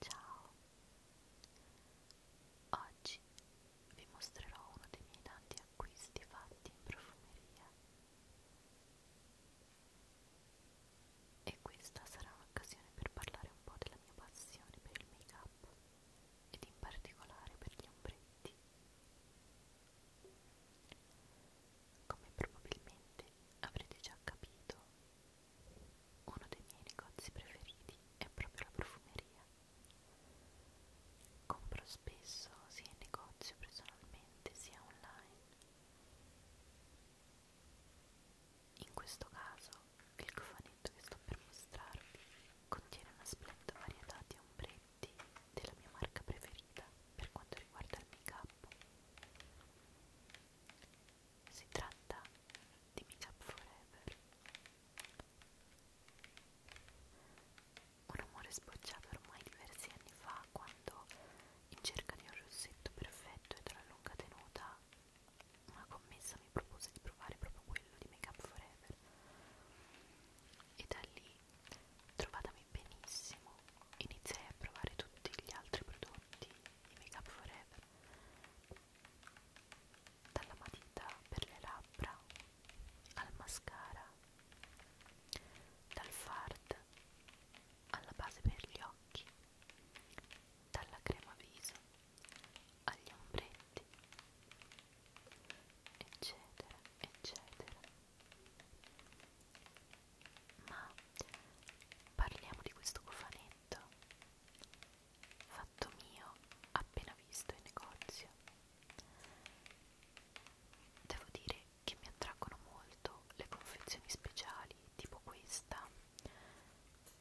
Ciao, oggi vi mostrerò uno dei miei tanti acquisti fatti in profumeria. E questa sarà un'occasione per parlare un po' della mia passione per il make-up ed in particolare per gli ombretti. Come probabilmente avrete già capito, uno dei miei negozi preferiti è proprio la profumeria Compro spesso sia in negozio personalmente sia online. In questo caso il cofanetto che sto per mostrarvi contiene una splendida varietà di ombretti della mia marca preferita per quanto riguarda il make-up. Si tratta di Make Up Forever un rumore sbocciato ormai diversi anni fa quando, in cerca di un rossetto perfetto e della lunga tenuta, una commessa mi propose di provare proprio quello di Make Up Forever. E da lì, trovatami benissimo, iniziai a provare tutti gli altri prodotti di Make Up Forever dalla matita per le labbra al mascara, dal fard alla base per gli occhi, dalla crema viso agli ombretti, eccetera, eccetera. Ma parliamo di questo cofanetto fatto mio appena visto in negozio Devo dire che mi attraggono molto le confezioni speciali tipo questa,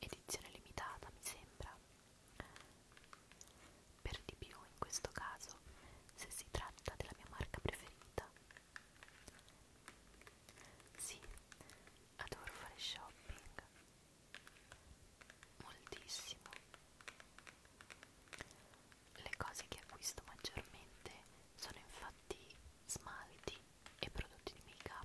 edizione limitata mi sembra. Per di più in questo caso se si tratta della mia marca preferita. Sì, adoro fare shopping moltissimo le cose che acquisto maggiormente sono infatti smalti e prodotti di make up.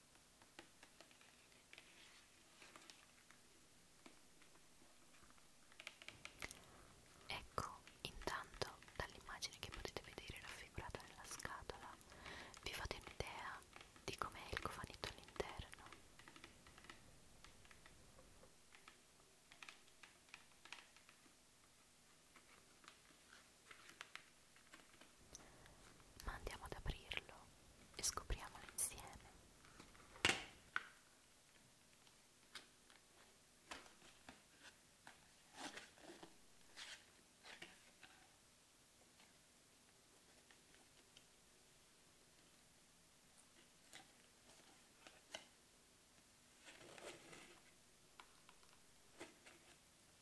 Ecco, intanto dall'immagine che potete vedere raffigurata nella scatola vi fate un'idea di com'è il cofanetto all'interno. Ma andiamo ad aprirlo e scopriamolo insieme.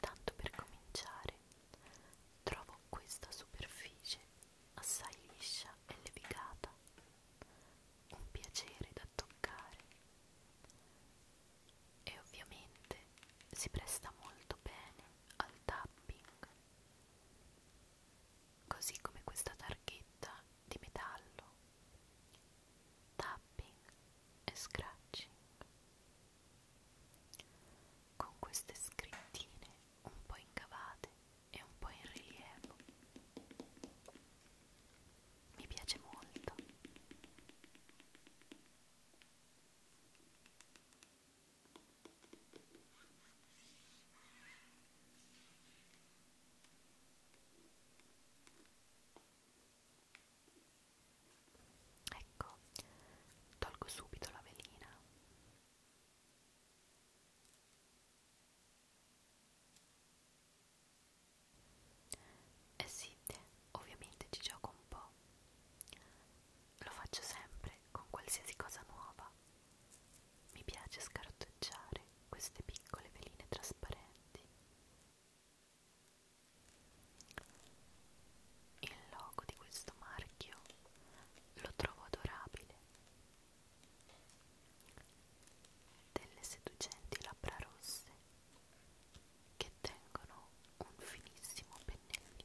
Tanto per cominciare, trovo questa superficie assai liscia e levigata, un piacere da toccare e ovviamente si presta molto bene al tapping così come questa targhetta di metallo tapping e scratching con queste scrittine un po' incavate e un po' in rilievo mi piace molto Ecco, tolgo subito la velina. Eh sì, ovviamente ci gioco un po'. Lo faccio sempre con qualsiasi cosa nuova. Mi piace scartocciare queste piccole veline trasparenti. Il logo di questo marchio lo trovo adorabile. Delle seducenti labbra rosse che tengono un finissimo pennellino.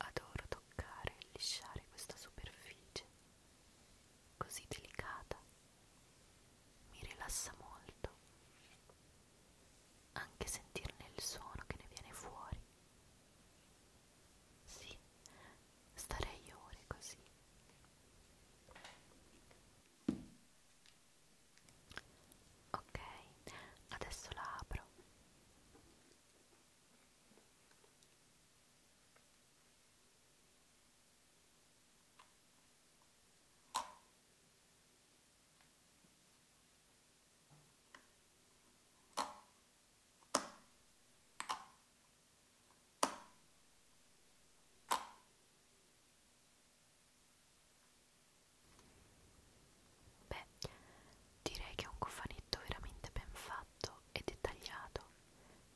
Adoro toccare e lisciare questa superficie così delicata. Mi rilassa molto. Anche sentirne il suono che ne viene fuori. Sì, starei ore così ok adesso la apro Beh, direi che è un cofanetto veramente ben fatto e dettagliato,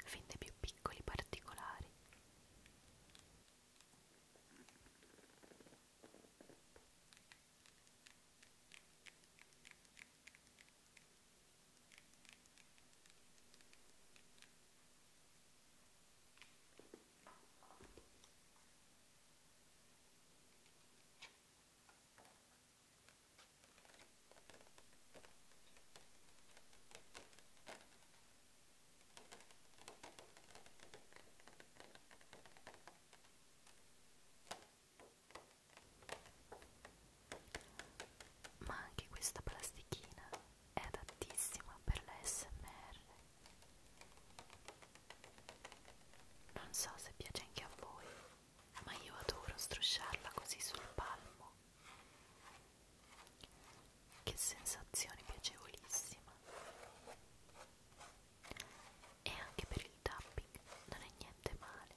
fin dai più piccoli particolari. Ma anche questa plastichina è adattissima per la SMR. Non so se piace anche a voi, ma io adoro strusciarla così sul palmo. Che sensazione piacevolissima! E anche per il tapping non è niente male.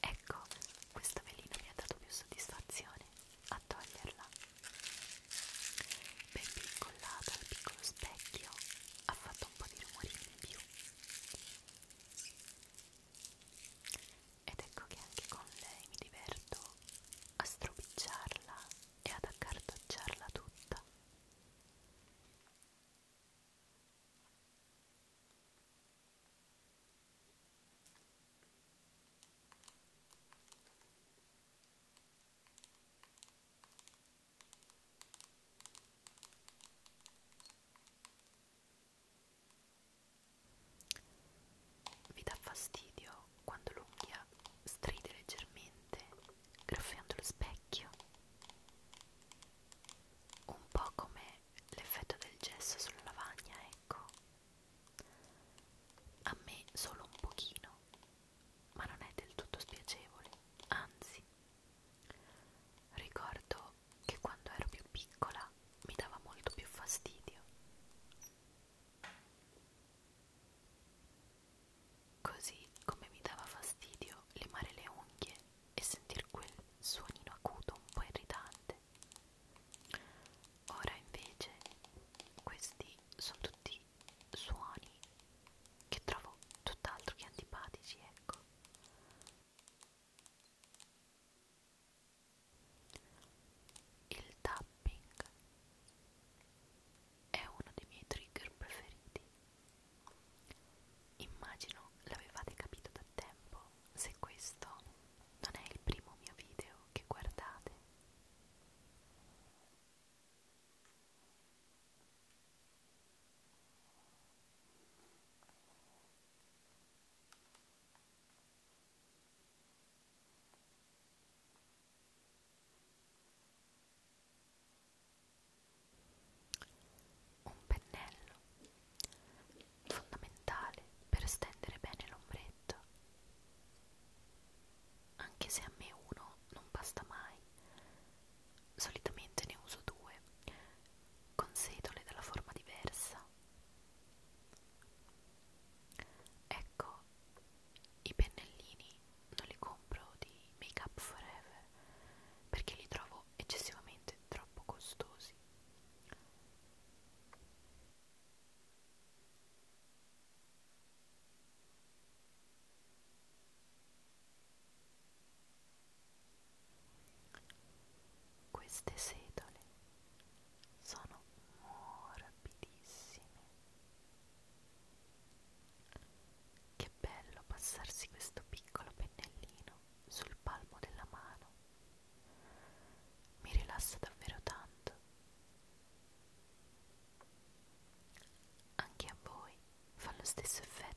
Ecco, questo velino mi ha dato più soddisfazione a toglierla. Perché incollata al piccolo specchio ha fatto un po' di rumorino in più. Ed ecco che anche con lei mi diverto a stropicciarla e ad accartocciarla tutta. Vi dà fastidio quando l'unghia stride leggermente graffiando lo specchio un po' come l'effetto del gesso sulla lavagna ecco a me solo un pochino ma non è del tutto spiacevole anzi ricordo che quando ero più piccola mi dava molto più fastidio Così come mi dava fastidio limare le unghie e sentir quel suonino acuto un po' irritante. Ora invece questi sono tutti suoni che trovo tutt'altro che antipatici, ecco. Il tapping è uno dei miei trigger preferiti. Immagino l'avevate capito da tempo se questo non è il primo mio video che guardate. Un pennello fondamentale per stendere bene l'ombretto. Anche se a me uno non basta mai, solitamente ne uso due, con setole della forma diversa. Ecco i pennellini non li compro di Make Up Forever perché li trovo eccessivamente troppo costosi. Queste setole sono morbidissime che bello passarsi questo piccolo pennellino sul palmo della mano. Mi rilassa davvero tanto. Anche a voi fa lo stesso effetto.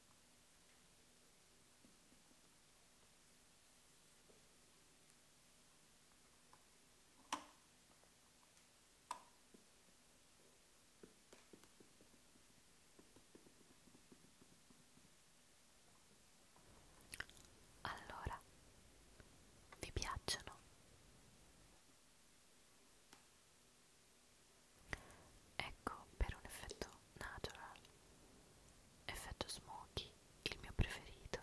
Allora, vi piacciono? Ecco per un effetto natural, effetto smoky, il mio preferito,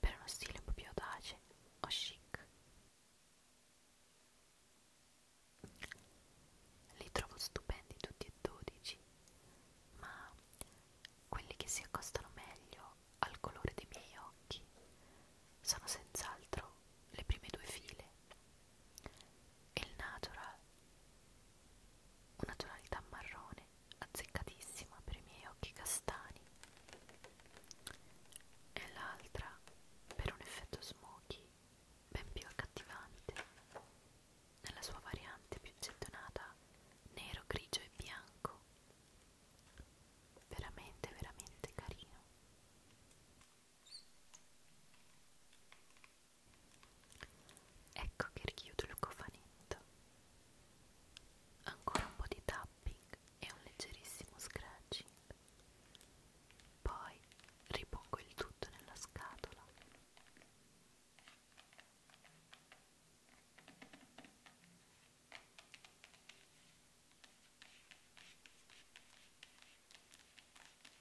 per uno stile un po' più audace o chic. Li trovo stupendi tutti e dodici, ma quelli che si accostano meglio al colore dei miei occhi sono senz'altro le prime due file e il natural una tonalità marrone azzeccatissima per i miei occhi castani e l'altra per un effetto smoky ben più accattivante nella sua variante più gettonata nero, grigio e bianco veramente veramente carino Ecco che richiudo il cofanetto. Ancora un po' di tapping e un leggerissimo scratching. Poi ripongo il tutto nella scatola.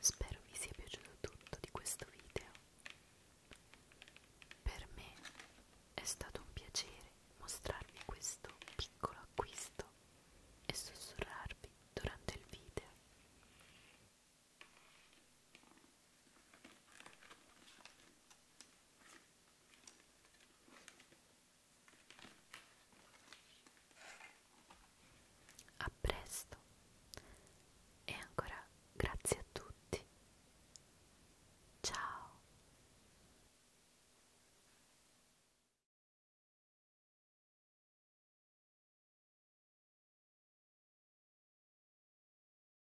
Spero vi sia piaciuto tutto di questo video. Per me è stato un piacere mostrarvi questo piccolo acquisto e sussurrarvi durante il video. A presto e ancora grazie a tutti. Ciao.